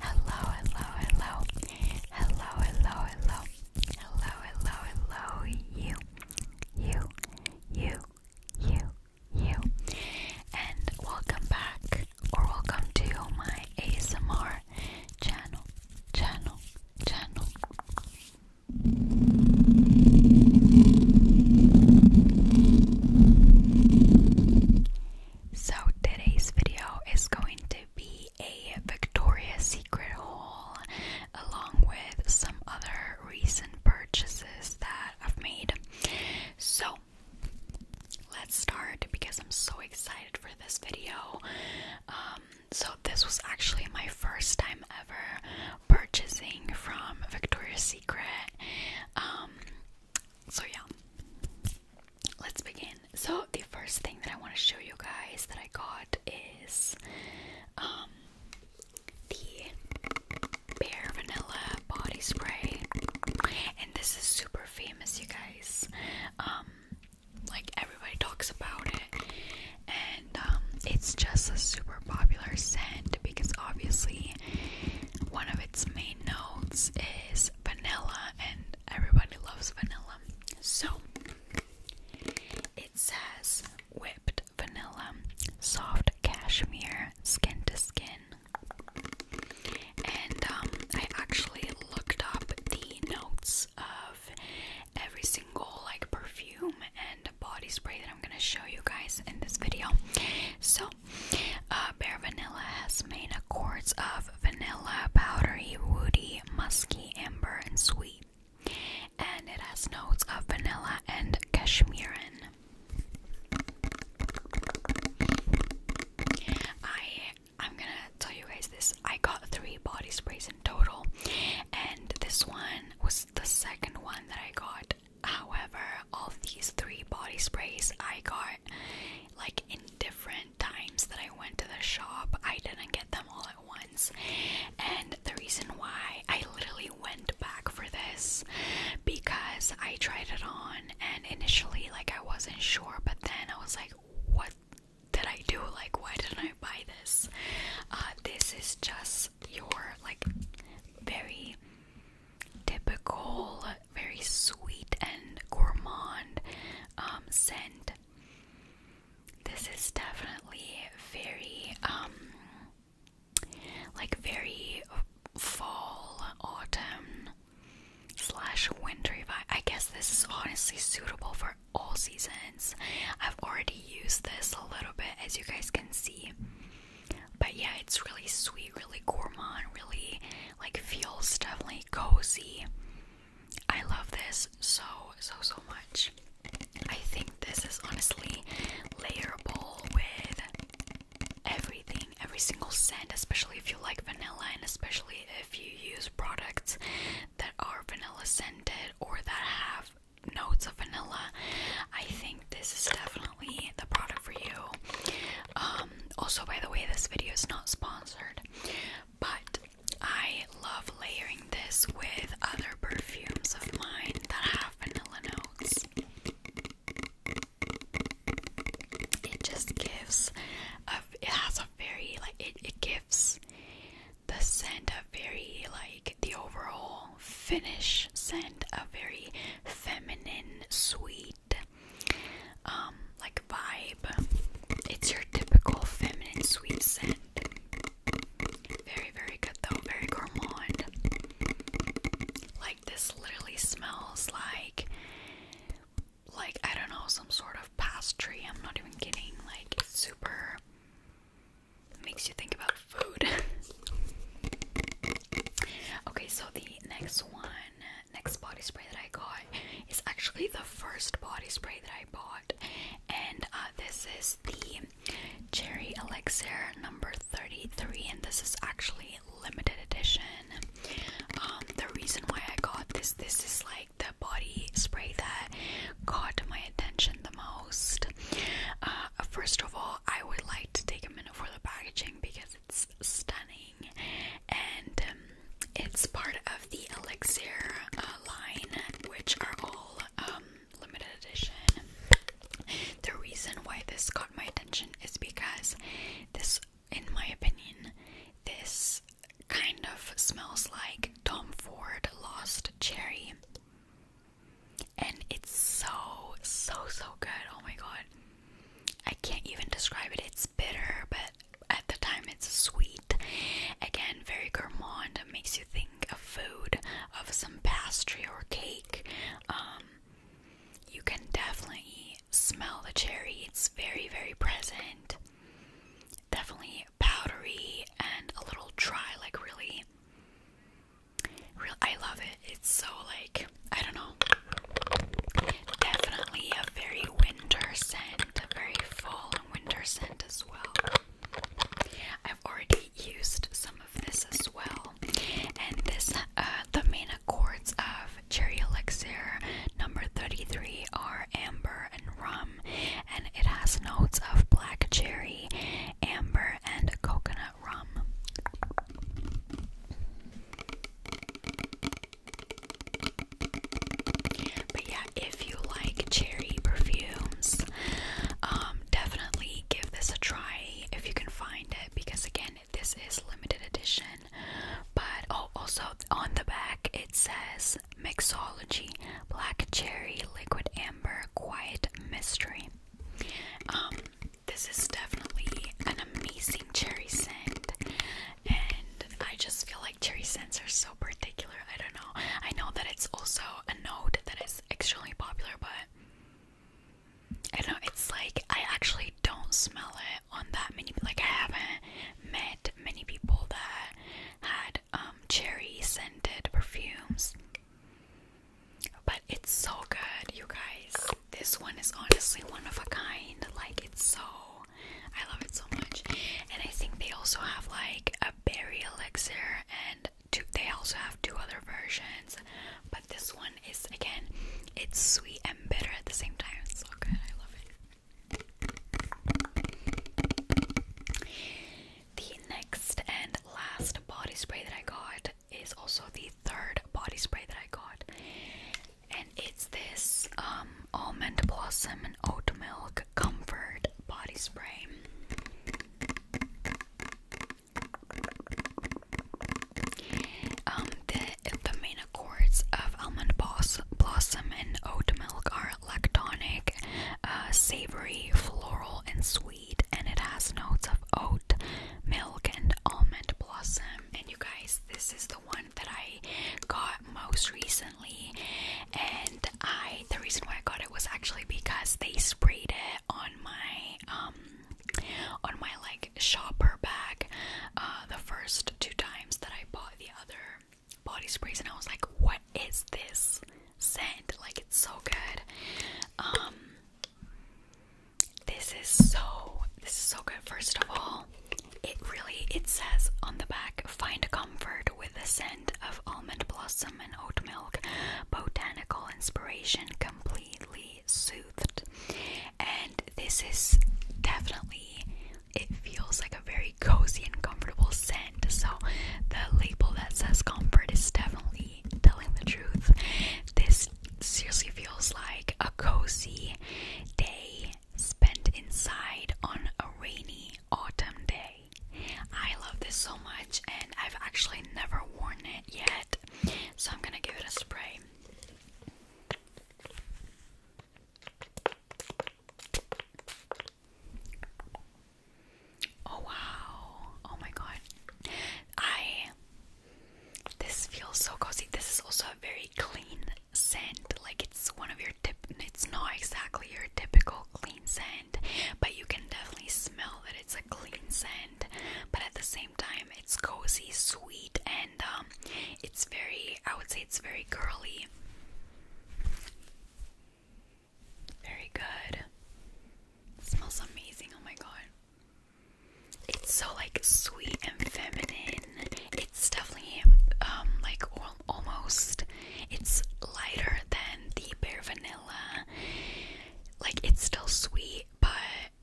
Hello, hello, hello. Hello, hello, hello. Hello, hello, You, you, you, you, you. And welcome back or welcome to my ASMR channel, channel, channel. So today's video is going to be a Victoria's Secret haul along with some other recent purchases that I've made. So let's start because I'm so excited for this video. Um, so this was actually my first time ever purchasing from Victoria's Secret. Um, so yeah, let's begin. So the first thing that I want to show you guys that I got is um the Bare Vanilla Body Spray, and this is super famous, you guys. Um, like everybody talks about it, and um, it's just a super popular scent because obviously one of its main notes is vanilla, and everybody loves vanilla. So it says whipped vanilla, soft cashmere, skin to skin. And um, I actually looked up the notes of every single like perfume and body spray that I'm gonna show you guys in this video. So well. Uh, Vanilla has main accords of vanilla, powdery, woody, musky, amber, and sweet. And it has notes of vanilla and cashmerean. I I'm gonna tell you guys this. I got three body sprays in total, and this one was the second one that I got. However, of these three body sprays I got like in different times that I went to the shop. I didn't get them all at once. And the reason why I literally went back for this because I tried it on and initially like I wasn't sure, but then I was like, what did I do? Like why didn't I buy this? Uh, this is just your like very typical, very sweet and gourmand um, scent. This is definitely very, um, like very fall, autumn slash wintry vibe. I guess this is honestly suitable for all seasons. I've already used this a little bit, as you guys can see. But yeah, it's really sweet, really gourmand, really like feels definitely cozy. I love this so so so much. I think this is honestly layerable with everything, every single scent, especially if you like vanilla and especially if you use products that are vanilla scented or that have notes of vanilla. I think this is definitely the product for you. Um, also, by the way, this video is not sponsored, but I love layering this with other perfumes of mine that have vanilla notes. It just gives a, it has a very like it, it gives the scent a very like the overall finish scent a very feminine sweet um, like vibe. It's your typical feminine sweet scent. Very, very good though, very gourmand. Like this literally smells like like I don't know, some sort of pastry. I'm not even kidding. Like it's super makes you think about food. okay, so the next one next body spray that I got is actually the first body spray that I bought, and uh, this is the Cherry Elixir number 33, and this is actually limited edition. Um, the reason why I got this, this is like the body spray that caught my attention the most. Uh, first of all, I would like to take a minute for the packaging because it's stunning and um, it's part of the Elixir uh, line, which are all um, limited edition. The reason why this caught my attention is because this, in my opinion, this kind of smells like Tom Ford Lost Cherry. And it's so, so, so good. Oh my god. I can't even describe it. It's bitter, but at the time it's sweet. Again, very gourmand. It makes you think of food, of some pastry or cake. Um, you can definitely smell the cherry. It's very, very present. Definitely powdery and a little dry, like really. Real, I love it. It's so like I don't know. Definitely a very winter scent, a very fall winter scent as well. I've already used some of this as well, and this uh, the main accords of Cherry Elixir number 33 are amber and rum, and it has notes of black cherry, amber, and coconut rum. But yeah, if you like cherry perfumes, um, definitely give this a try if you can find it because again, this is limited edition. But oh, also on the back it says Mixology Black Cherry Liquid Amber Quiet Mystery. Um, this is definitely an amazing cherry scent and I just feel like cherry scents are so particular. I don't know. I know that it's also a note that is extremely popular, but I don't know. It's like I actually don't smell it on that many. Like I haven't met many people that had um, cherry scented perfumes. But it's so good, you guys. This one is honestly one of a kind. Like it's so I love it so much. And I think they also have like a berry elixir and they also have two other versions. But this one is again, it's sweet and bitter at the same time. so good. I love it. The next and last body spray that I got is also the third body spray that I got and it's this um, almond blossom and oat milk comfort body spray. Um, the main accords of almond blossom and oat milk are lectonic, uh, savory, floral, and sweet, and it has notes of oat, milk, and almond blossom. And you guys, this is the one that I got most recently, and I the reason why I got it was actually because they sprayed it on my um on my like shopper bag uh, the first two times that I bought the other body spray, and I was like, what is this scent? Like it's so good. Um, this is so this is so good. First of all. It really it says on the back, find comfort with the scent of almond blossom and oat milk, botanical inspiration completely soothed. And this is definitely it feels like a very cozy and comfortable scent. So the label that says comfort is definitely telling the truth. This seriously feels like a cozy day spent inside on a rainy autumn day. I love this so much, and I've actually never worn it yet, so I'm gonna give it a spray. Oh wow. Oh my god. I this feels so cozy. This is also a very clean scent like it's one of your it's not exactly your typical clean scent but you can definitely smell that it's a clean scent but at the same time it's cozy sweet and um it's very I would say it's very girly very good smells amazing oh my god it's so like sweet and feminine it's definitely um, like almost it's lighter than the bare vanilla. Like it's still sweet, but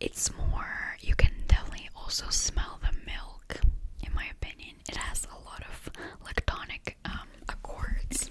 it's more you can definitely also smell the milk in my opinion. It has a lot of lactonic um, accords.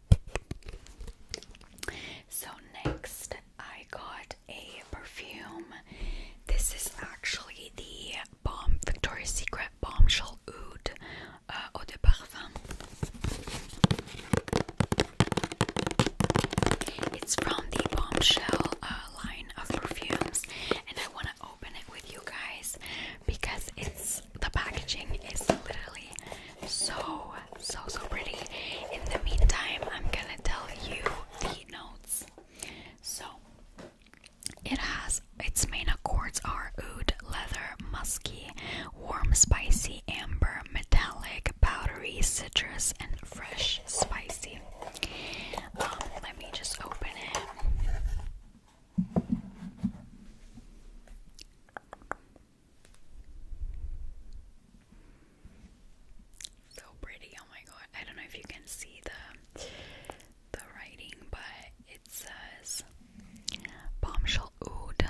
So, next, I got a perfume. This is actually the Bomb Victoria's Secret Bombshell Oud uh, Eau de Parfum. It's from the Bombshell uh, line of perfumes, and I want to open it with you guys because it's the packaging is literally so, so, so pretty. In the meantime, I'm gonna tell you the notes. So, it has its main accords are oud, leather, musky, warm, spicy, amber, metallic, powdery, citrus, and fresh, spicy. Um, let me just open it. So pretty, oh my god. I don't know if you can see the the writing, but it says Bombshell Oud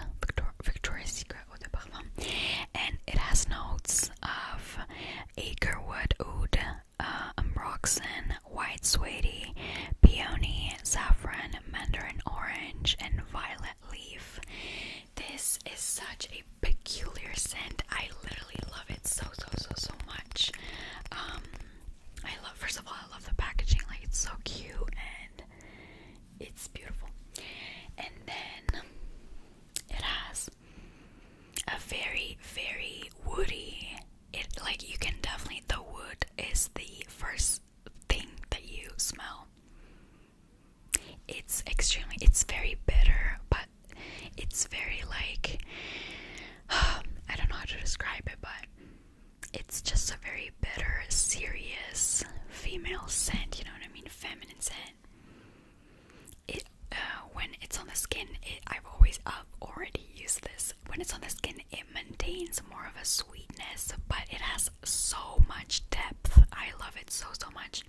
Victor Secret Eau de And it has notes of Akerwood Oud, uh, Ambroxan, White Suede, Peony, Saffron, Mandarin Orange, and Violet Leaf. This is such a peculiar scent. I literally love it so so so so much. Um I love first of all I love the packaging, like it's so cute and it's beautiful. And then it has a very, very woody it like you can definitely the wood is the first thing that you smell. It's extremely, it's very bitter, but it's very like, I don't know how to describe it, but it's just a very bitter, serious female scent, you know what I mean? Feminine scent. It, uh, when it's on the skin, it, I've always uh, already used this. When it's on the skin, it maintains more of a sweetness, but it has so much depth. I love it so, so much.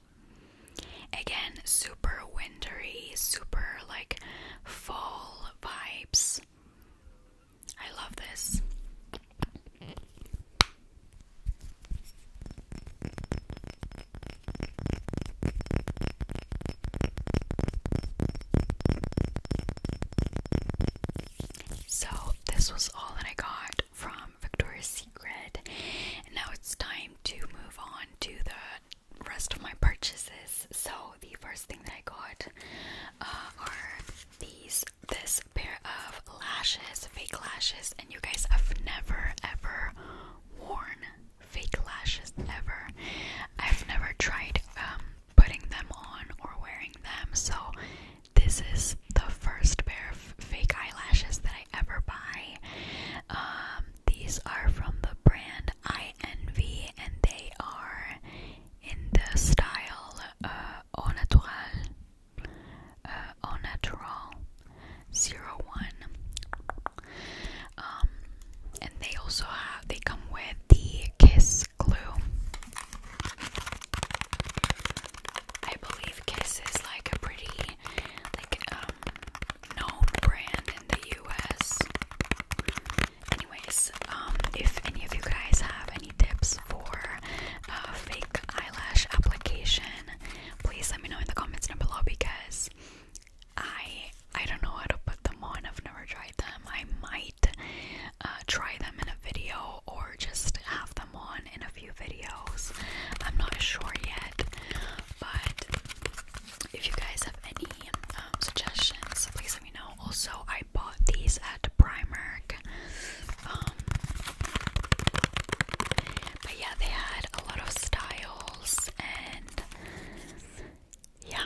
Again, super wintry, super like fall vibes. I love this. So, this was all that I got from um, Victoria's Secret. And now it's time to move on to the rest of my purchases. So the first thing that I got uh, are these this pair of lashes, fake lashes, and you guys have never ever worn fake lashes ever. I've never tried um, putting them on or wearing them, so this is the first pair of fake eyelashes that I ever buy. Um, these are from the brand INV and they are in the style uh, Au Natural, uh, Au Natural 01. Um, and they also have, they come with the Kiss glue. I believe Kiss is like a pretty like um known brand in the US. Anyways, um if any of you guys have any tips for uh, fake eyelash application, please let me know in the comments down below because I I don't know how to put them on. I've never tried them. I might uh, try them in a video or just have them on in a few videos. I'm not sure yet, but if you guys have any um, suggestions, please let me know. Also, I bought these at Primark. Um, but yeah, they had a lot of styles and yeah.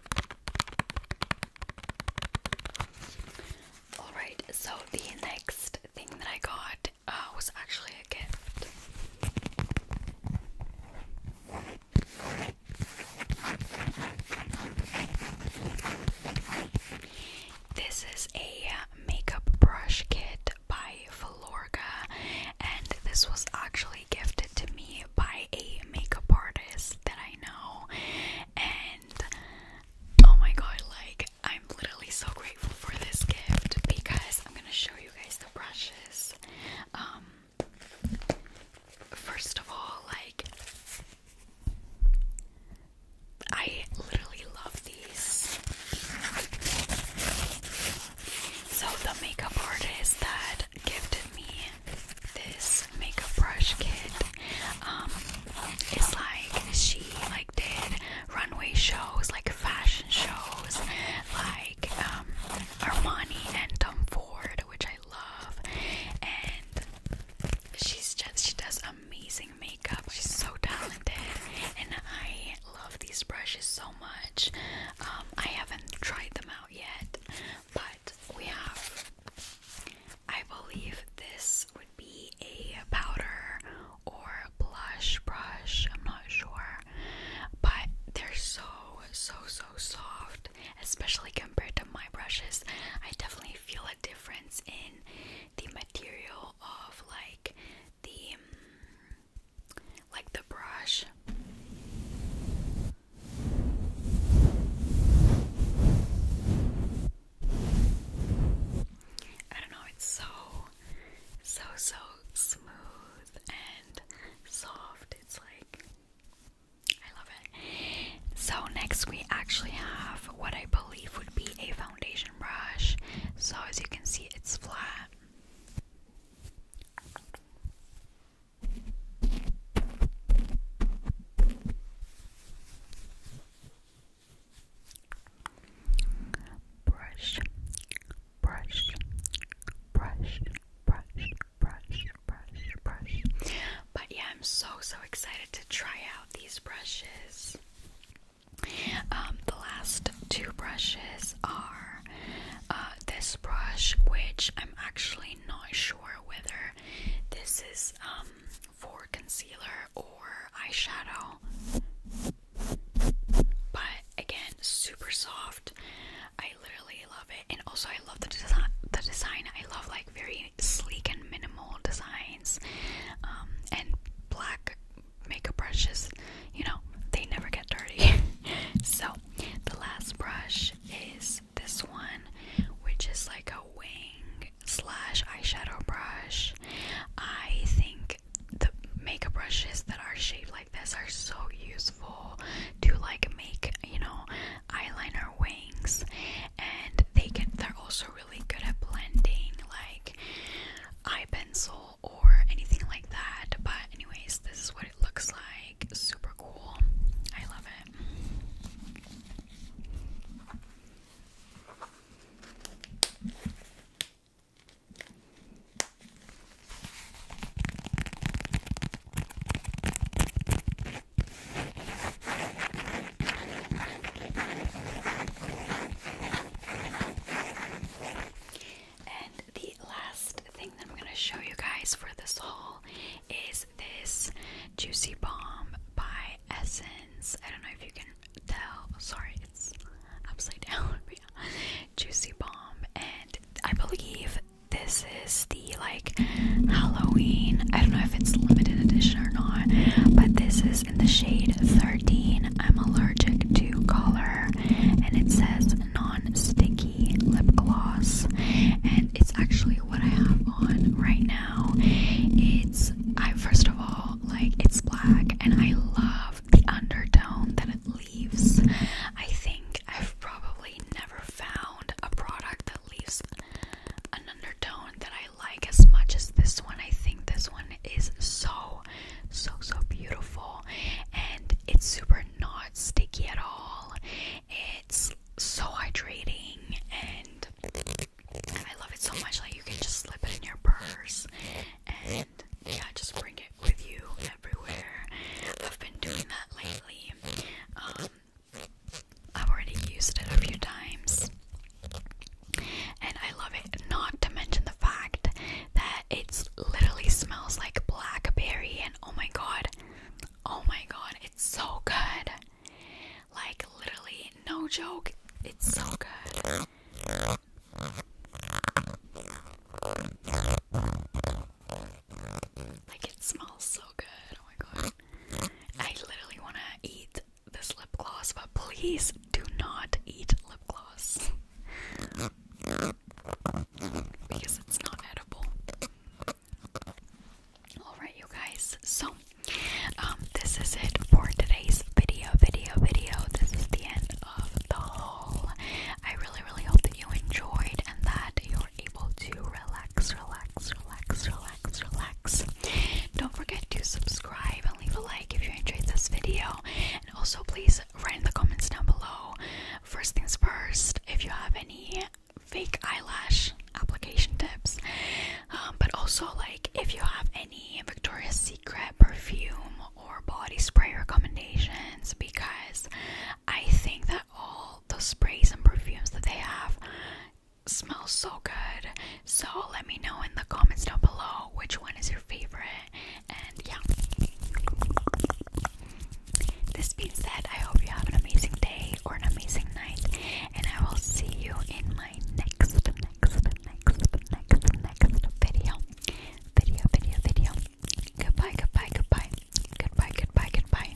Alright, so the next thing that I got uh, was actually a gift. This is a makeup brush kit by Filorga, and this was actually gifted to me by a makeup artist that I know, and oh my god, like I'm literally so grateful for this gift because I'm gonna show you guys the brushes. Um, first of all, like I literally love these. So, the makeup artist that gifted me this makeup brush kit. Um, it's like she like did runway shows, like fashion shows, like um, Armani and Tom Ford, which I love, and she's just she does amazing makeup. She's so talented, and I love these brushes so much. Um, I haven't tried them out yet, but we have, I believe this would be a powder or blush brush, I'm not sure. But they're so, so, so soft, especially compared to my brushes. I definitely feel a difference in the material of like the. like the brush I don't know, it's so, so, so smooth and soft. It's like, I love it. So, next we actually have what I believe would be a foundation brush. So, as you can see, it's flat brush brush brush brush brush brush brush but yeah I'm so so excited to try out these brushes um the last two brushes are uh this brush which I'm actually not sure whether this is um, for concealer or eyeshadow. But again, super soft. I literally love it. And also I love the design the design. I love like very sleek and minimal designs. Um, and black makeup brushes, you know, they never get dirty. so the last brush is this one, which is like a wing slash eyeshadow brush. I think the makeup brushes that are shaped like this are so useful to like make, you know, eyeliner wings, and they can. They're also really good at blending, like eye pencil or anything like that. But anyways, this is what it looks like. Super cool. I love it. And the last thing I'm going to show you guys for this haul is this Juicy Bomb by Essence. I don't know if you can tell. Sorry, it's upside down. Juicy Bomb. And I believe this is the like Halloween. I don't know if it's limited edition or not, but this is in the shade 13. I'm allergic to color. And it says non sticky lip gloss. And it's actually what I have on right now. It's I first of all like it's black and I love the undertone that it leaves. I think I've probably never found a product that leaves an undertone that I like as much as this one. I think this one is so so so beautiful and it's super not sticky at all it's so hydrating and I love it so much. Like, you can just slip it in your purse and yeah, just bring it with you everywhere. I've been doing that lately. Um, I've already used it a few times and I love it. Not to mention the fact that it literally smells like blackberry, and oh my god, Oh my god, it's so good. Like, literally, no joke, it's so good. Like, it smells so good. Oh my god. I literally want to eat this lip gloss, but please do not eat lip gloss because it's not edible. Alright, you guys, so um, this is it for today's video, video, video. This is the end of the whole. I really, really hope that you enjoyed and that you're able to relax, relax, relax, relax, relax. Don't forget to subscribe and leave a like if you enjoyed this video. And also, please write in the comments down below. First things first, if you have any fake eyelash application tips, um, but also like if you have any Victoria's Secret perfume or body spray recommendations, because I think that all the sprays and perfumes that they have smell so good. So let me know in the comments down below which one is your favorite, and yeah. This being said, I hope you have an amazing day or an amazing night, and I will see you in my next, next, next, next, next video. Video, video, video. Goodbye, goodbye, goodbye. Goodbye, goodbye, goodbye.